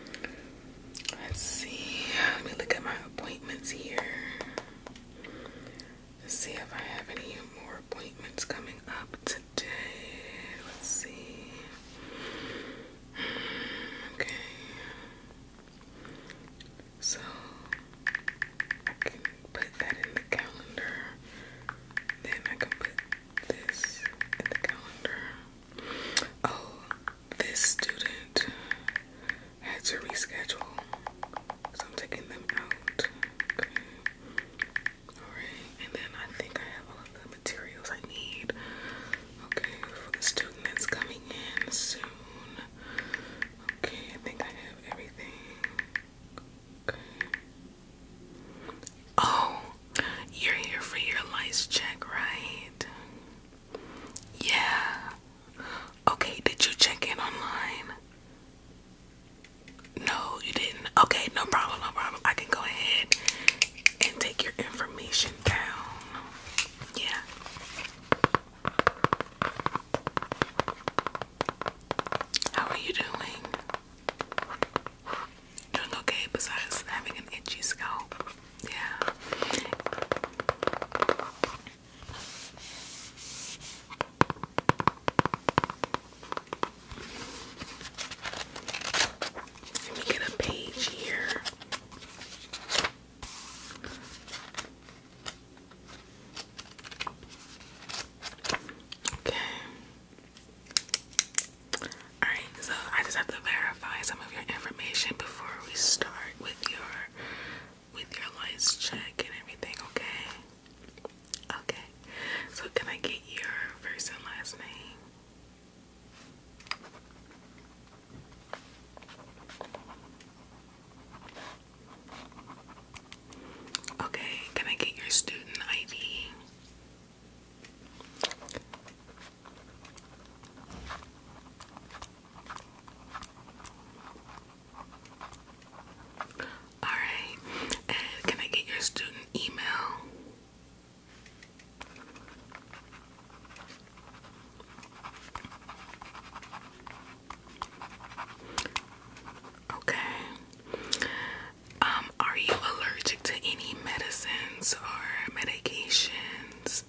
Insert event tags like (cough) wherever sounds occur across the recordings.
Let's see. Let me look at my appointments here. see if I have any more appointments coming up today. Let's see. Okay. So put that in the calendar. Then I can put this in the calendar. Oh, this student had to reschedule, so I'm taking them out. Alright, and then I think I have all the materials I need. Okay, student that's coming in soon. Okay, I think I have everything. Okay. Oh, you're here for your lice check, right? Yeah. Okay, did you check in online? No, you didn't. Okay, no problem, no problem. I can go ahead and take your information down. Yeah. How are you doing? Doing okay besides having an itchy scalp. Yeah. Let me get a page here. Okay. Alright, so I just have to verify some of your information before we start with your with your lights check and everything, okay? Okay. So can I get your first and last name? Okay, can I get your student ID? All right, can I get your student email? Okay. Um, are you allergic to any medicines or medications?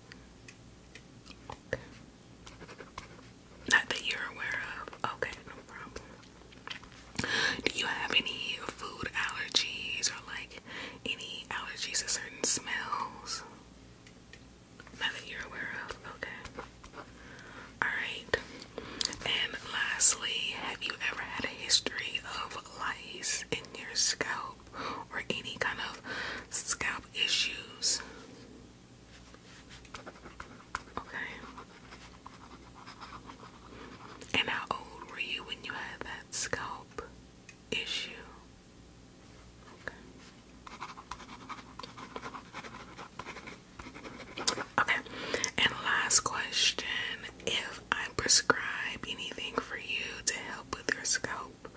Not that you're aware of. Okay, no problem. Do you have any food allergies or like any allergies to certain smells? Not that you're aware of. Okay. Alright. And lastly, have you ever had a history of lice in your scalp? or any kind of scalp issues. Okay. And how old were you when you had that scalp issue? Okay. And last question if I prescribe anything for you to help with your scalp help.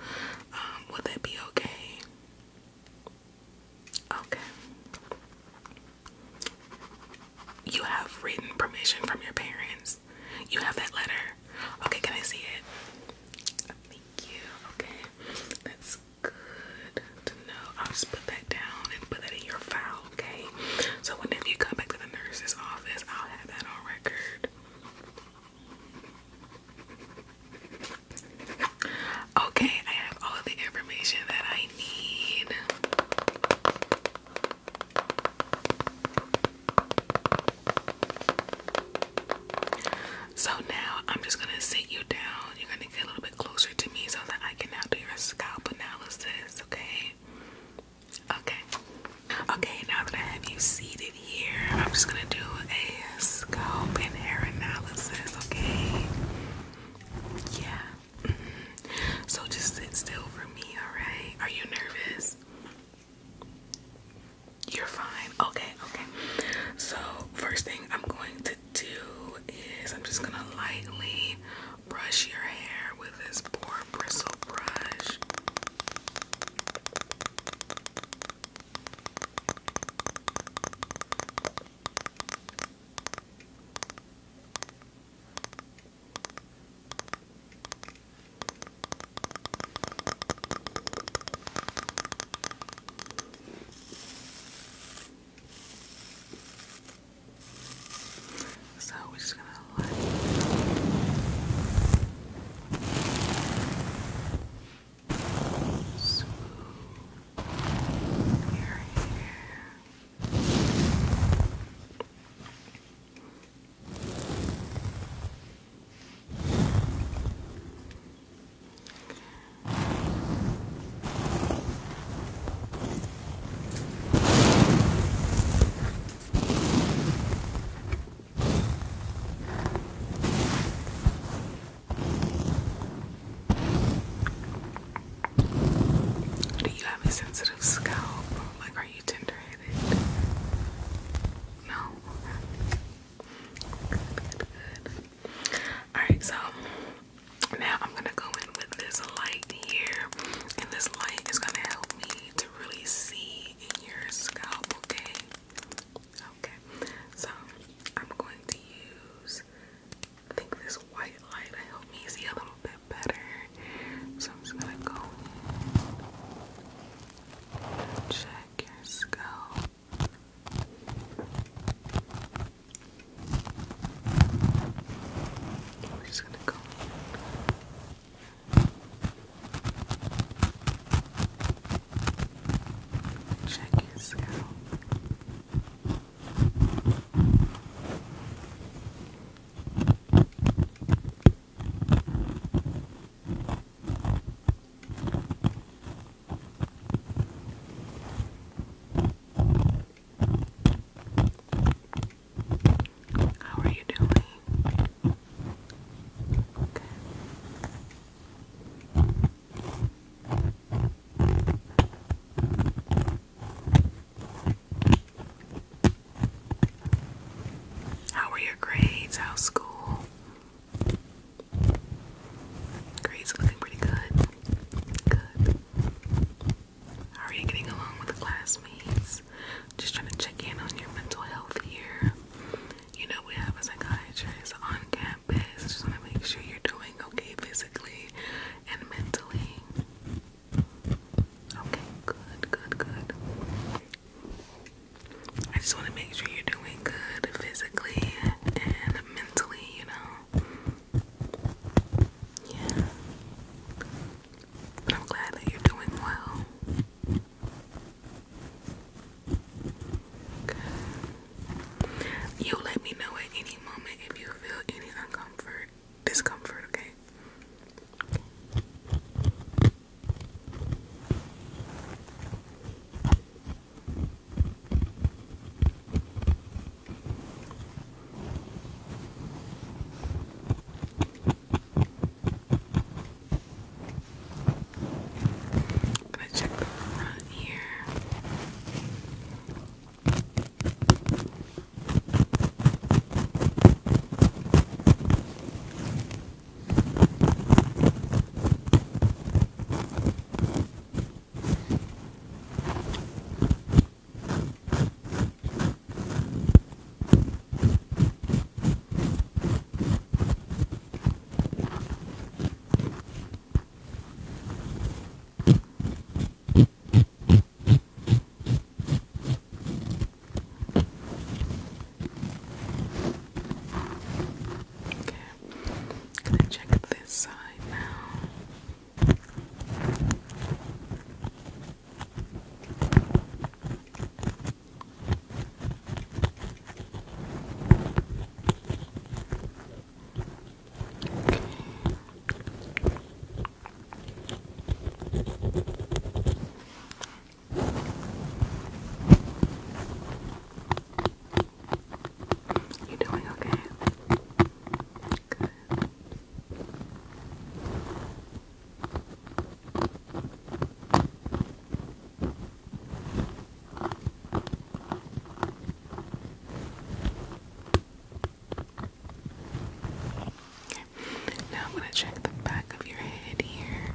Um, that be okay? Okay. You have written permission from your parents. You have that letter. Okay, can I see it? Thank you. Okay, that's good to know. I'll just put that down and put that in your file, okay? So whenever you come back to the nurse's office, I'll have that on record. Okay, I have all the information that I need. So now I'm just gonna sit you down. You're gonna get a little bit closer to me so that I can now do your scalp analysis, okay? Okay. Okay, now that I have you seated here, I'm just gonna do a scalp and hair analysis, okay? Yeah. Mm-hmm. So just sit still for me, alright? Are you nervous? You're fine. Okay, okay. So, first thing I'm going to do is I'm just gonna lightly brush your hair with this poor bristle brush. So we're just gonna let Swoop your hair. Okay. Do you have a sensitive scalp? Like, are you tender headed? No? Alright, so now I'm gonna go in with this light here, and this light is gonna help me to really see your scalp, okay? Okay, so I'm going to use, I think this white light I hope me see a little bit better. So I'm just gonna go check your scalp. We're just gonna go Check your scale. How are you doing? How were your grades? How's school? Grades looking pretty good. Good. How are you getting along with the classmates? Just trying to check in on your mental health here. You know, we have a psychiatrist on campus. Just want to make sure you're doing okay physically and mentally. Okay, good, good, good. I just want to make sure you're doing good physically and mentally, you know. Yeah. I'm glad that you're doing well. You let me know at any moment if you feel any uncomfort, discomfort, Okay. I'm gonna check the front here. Okay. Okay, can I check this side now? Okay. You doing okay? Good. Now I'm going to check the back of your head here.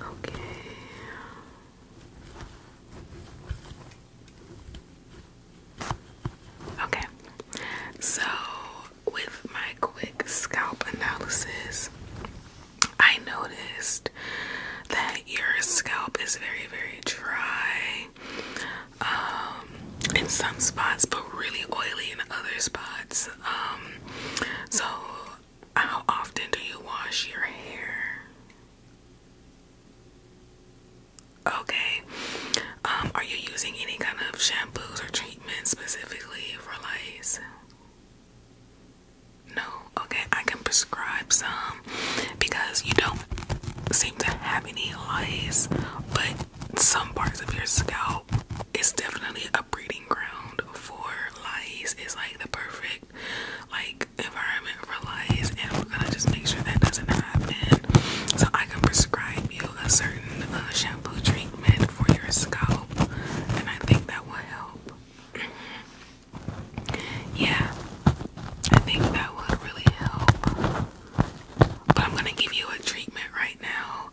Okay. Okay. So, with my quick scalp analysis, I noticed that your scalp is very, very dry um, in some spots, but really oily in other spots. Um, so, how often do you wash your hair? Okay. Um, are you using any kind of shampoos or treatments specifically for lice? No, okay, I can prescribe some because you don't seem to have any lice, but some parts of your scalp is definitely a breeding ground for lice. It's like the perfect like environment for lice, and we're gonna just make sure that doesn't happen. So I can prescribe you a certain uh, shampoo treatment for your scalp, and I think that will help. (clears throat) yeah, I think that would really help. But I'm gonna give you a treatment right now.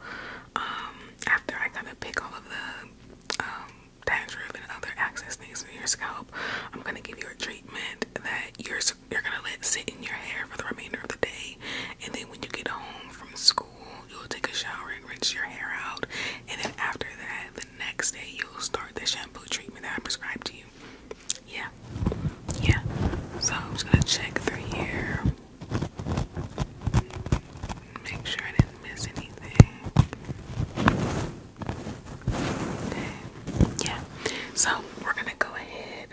Um, after I kind of pick all of the um, dandruff and other access things in your scalp, I'm gonna give you a treatment that you're you're gonna let sit in your hair for the remainder of the day, and then when you get home from school, you'll take a shower rinse your hair out. And then after that, the next day you'll start the shampoo treatment that I prescribed to you. Yeah. Yeah. So I'm just gonna check through here. Make sure I didn't miss anything. Yeah. So we're gonna go ahead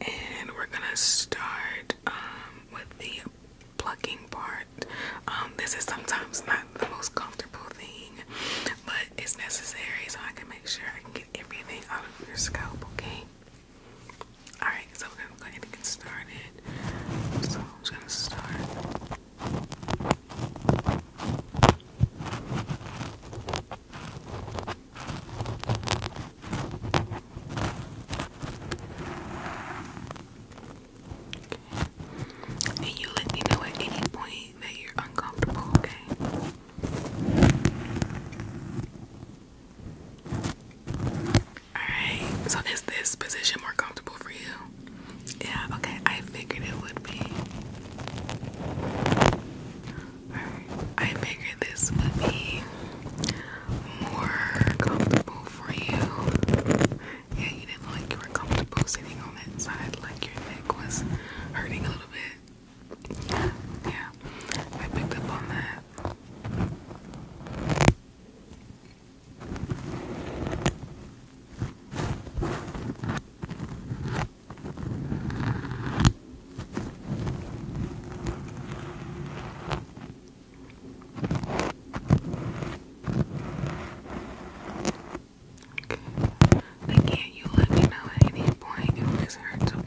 and we're gonna start um, with the plucking part. Um, this is sometimes not the most comfortable thing, but it's necessary so I can make sure I can get everything out of your scalp, okay? Alright, so we're gonna go ahead and get started. So I'm gonna start. And you let me know at any point that you're uncomfortable, okay? Alright, so is this position more comfortable for you? Yeah, okay, I figured it would be. I figured this would be more comfortable for you yeah, you didn't look like you were comfortable sitting on that side, like your neck was hurting a little bit. Yeah, I picked up on that. Okay. Again, you let me know at any point if this hurts, Okay.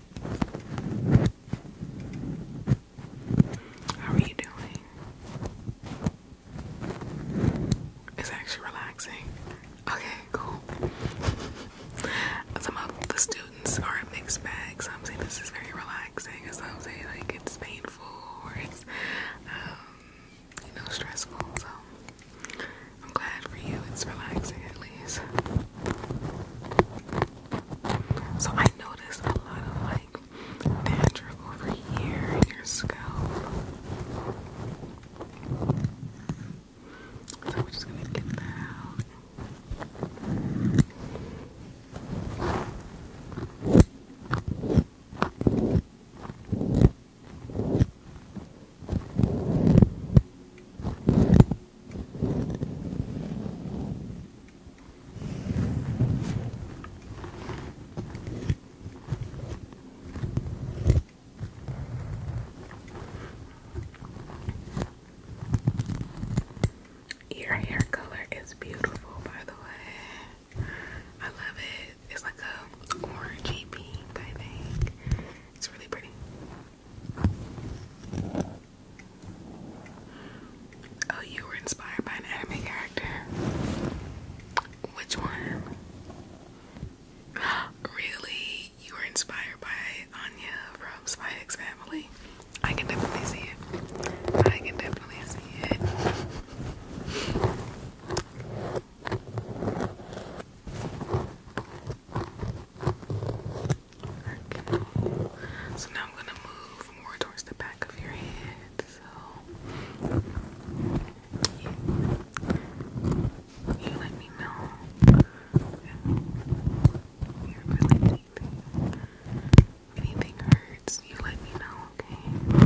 How are you doing? It's actually relaxing. Okay, cool. Some of the students are a mixed bag. Some say this is very relaxing, some say like it's painful or it's um, you know stressful. So I'm glad for you, it's relaxing at least. So I noticed a lot of like dandruff over here in your scalp. So we're just gonna get that your hair color is beautiful, by the way. I love it. It's like a orangey pink, I think. It's really pretty. Oh, you were inspired by an anime character. Which one? (gasps) Really? You were inspired by Anya from Spy X Family? I can definitely see it. I can definitely see it. So now I'm going to move more towards the back of your head. So you let me know you're really anything. anything hurts, you let me know, Okay.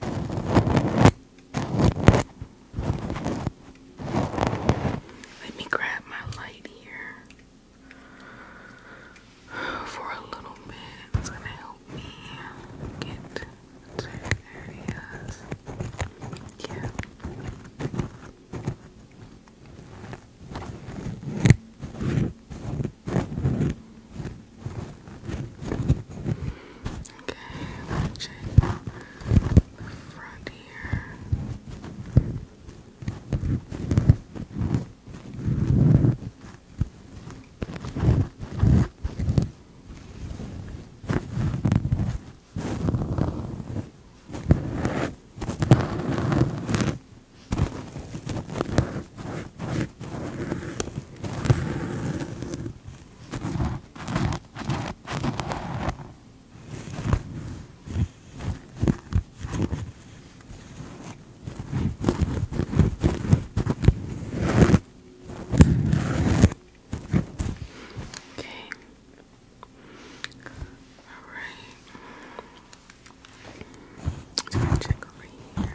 Let me grab my light here for a little bit. It's gonna help me get certain areas. Yeah. Okay, I'll check the front here. Okay. Okay. All right. Let's check over here.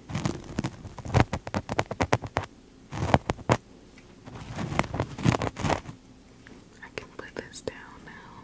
I can put this down now.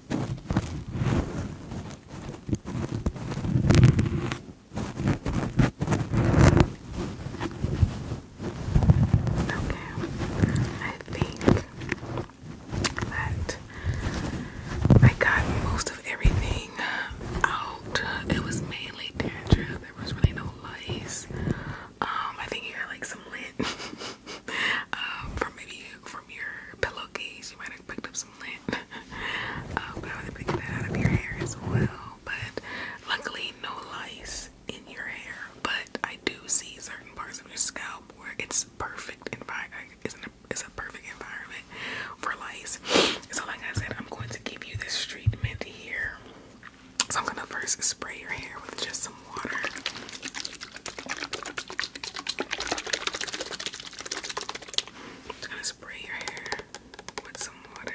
I think that I got most of everything out. It was mainly dandruff. There was really no lice. Um, I think you got like some lint. (laughs) (laughs) Um, from maybe from your pillowcase, you might have picked up some lint. um, (laughs) but that out of your hair as well. But luckily, no lice in your hair. But I do see certain parts of your scalp where it's perfect environment. Isn't it's a perfect environment for lice. So, like I said, I'm going to give you this treatment here. So I'm gonna first spray your hair with just some spray your hair with some water.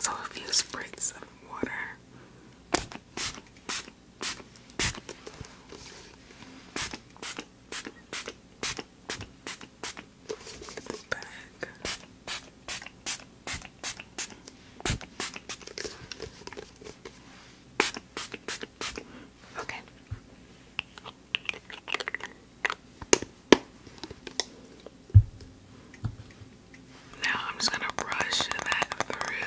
So a few spritz of water. Back. Okay. Now I'm just going to brush that through.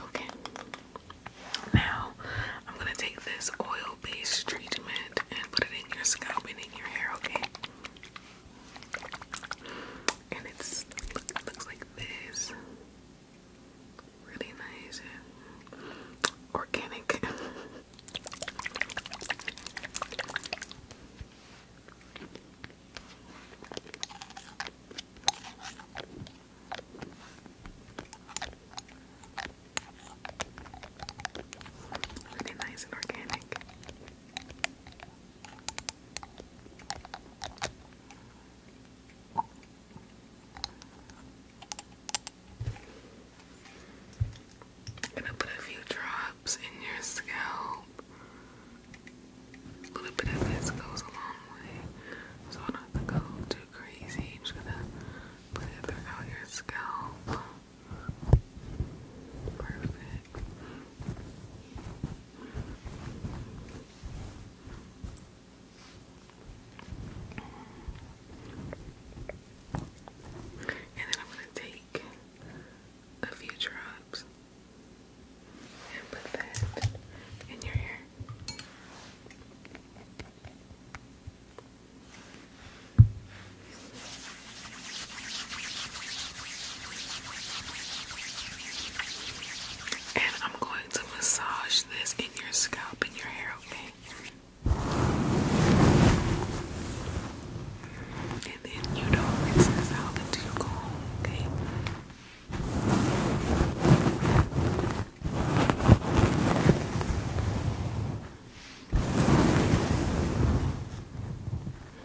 Okay. Now I'm gonna take this oil-based treatment and put it in your scalp and in your hair, okay? and it's it looks like this. Really nice, organic. Really nice and organic. I'm gonna put a few drops in your scalp. A little bit of this goes a long way, so not have to go too crazy. just gonna put it throughout your scalp. Perfect. And then I'm going to take a few drops and put that in your hair. And I'm going to massage this in your scalp and your hair, okay? And then you don't rinse this out until you go home, okay?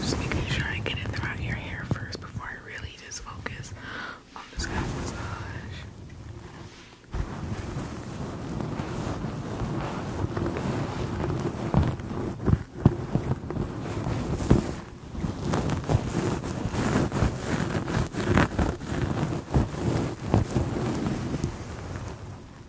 Just making sure I get it throughout your hair first before I really just focus on this scalp massage.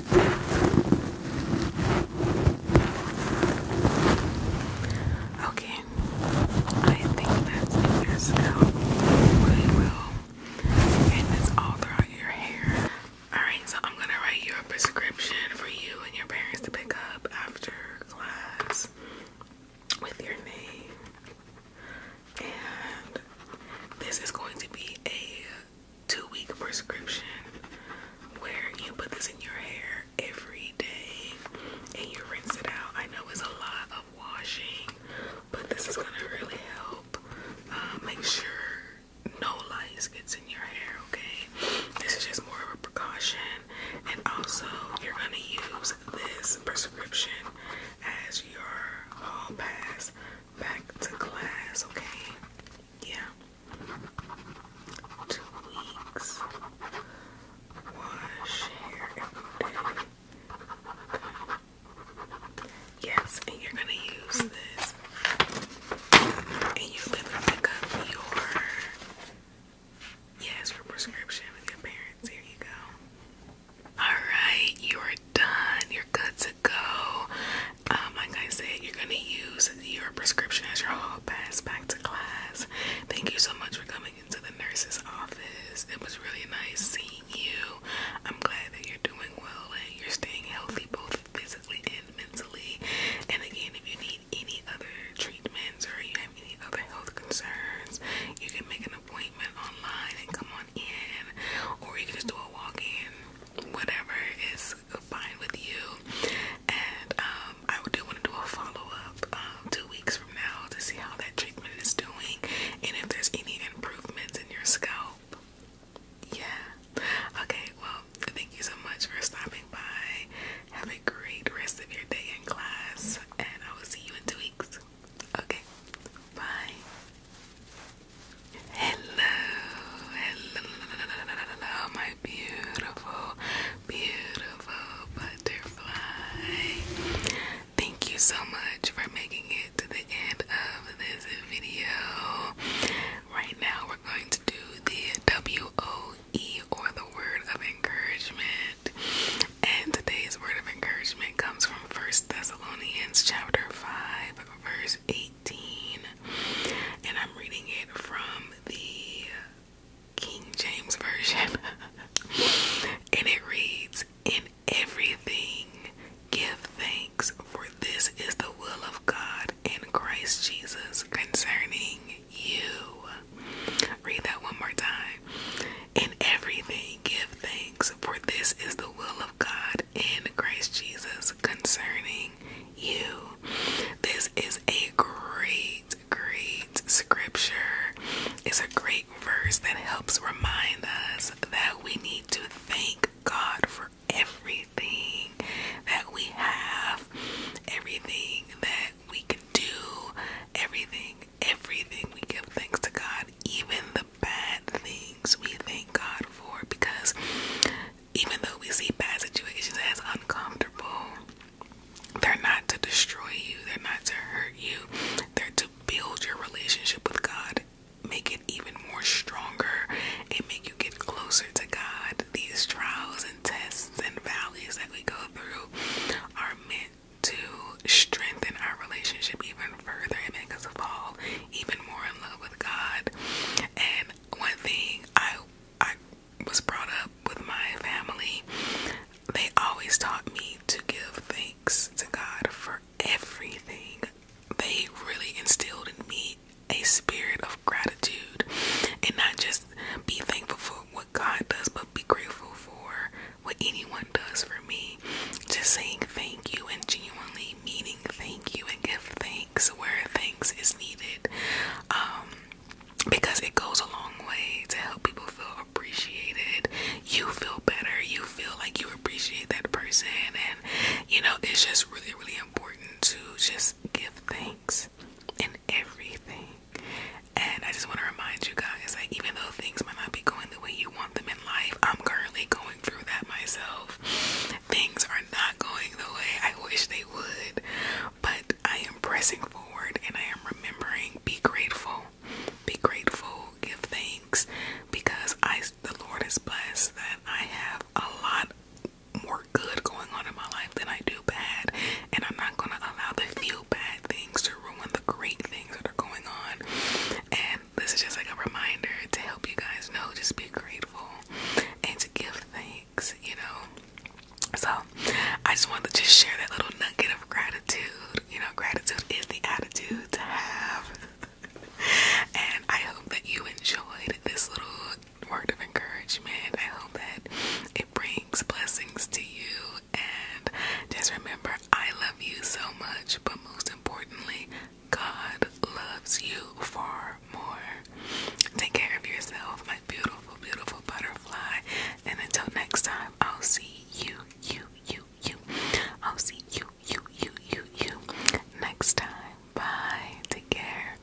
Okay, I think that's in really well, and it's all throughout your hair. Alright, so I'm gonna write you a prescription for you and your parents to pick up after class with your name. And this is going to be a two week prescription where you put this in your hair every day and you rinse it out. I know it's a lot of washing, but this is gonna really help uh, make sure no lice gets in your hair, okay? This is just more of a precaution, and also you're gonna use this prescription as your hall pass back to class, okay? yeah, two weeks. Wash hair every day. Yes, and you're gonna use this, and you're gonna pick up your yes, your prescription with your parents. Here you go. All right, you are done. Your good to go. Um, like I said, you're gonna use your prescription as your hall pass back to class. Thank you so much for coming into the nurse's office. It was really nice seeing you. I'm glad that you're doing well and you're staying healthy both physically and mentally. And again, if you need any other treatments or you have any other health concerns, you can make an appointment online and come on in, or you can just do a walk in. Whatever is fine with you. And um, I do want to do a follow up um, two weeks from now to see how that treatment is doing and if there's any improvements in your scalp. Yeah. Okay, well, thank you so much for stopping by. Have a great rest of your day in class, and I will see you in two weeks. Okay, bye. Hello, hello, my beautiful, beautiful butterfly. Thank you so much for making it to the end of this video. Right now, we're going to do the W O E or the word of encouragement. And today's word of encouragement comes from First Thessalonians chapter 5, verse 8 and I'm reading it from the King James Version, (laughs) and it reads, In everything give thanks, for this is the will of God in Christ Jesus concerning you. Read that one more time. In everything give thanks, for this is the will of God in Christ Jesus concerning you. This is a great, great scripture. It's a great verse that helps remind us that we need to thank God for everything that we have, everything that we can do, everything, everything. We give thanks to God, even the bad things we thank God for because even though we see bad situations as uncomfortable, they're not to destroy you, they're not to hurt you, they're to build your relationship with God, make it even more stronger, and make you get closer to God. These trials and tests and valleys that we go through are meant to strengthen our relationship even further and make us fall even more in love with God. And one thing I I was brought up with my family, they always taught me to give thanks to God for everything. They really instilled in me a spirit of gratitude and not just be thankful for what God does, but be grateful for what anyone does for me. Just saying thank you and genuinely meaning thank you and give thanks thanks where thanks is needed um, because it goes a long way to help people feel appreciated. You feel better. You feel like you appreciate that person. And, you know, it's just really, really important to just give thanks in everything. And I just want to remind you guys, like, even though things might not be going the way you want them in life, I'm currently going through that myself. Things are not going the way I wish they would, but I am pressing forward and I am remembering be grateful. Be grateful, give thanks because I the Lord is blessed that I have a lot more good going on in my life than I do bad, and I'm not going to allow the few bad things to ruin the great things that are going on. And this is just like a reminder to help you guys know just be grateful and to give thanks, you know. So I just wanted to just share that little nugget of gratitude. You know, gratitude is the attitude to have. (laughs) and I hope that you enjoyed this little word of encouragement. I hope that it brings blessings to you. And just remember, I love you so much, but most importantly, God loves you far more. Take care of yourself, my beautiful, beautiful butterfly. And until next time, I'll see you, you, you, you. I'll see you, you, you, you, you. Next time. Bye. Take care.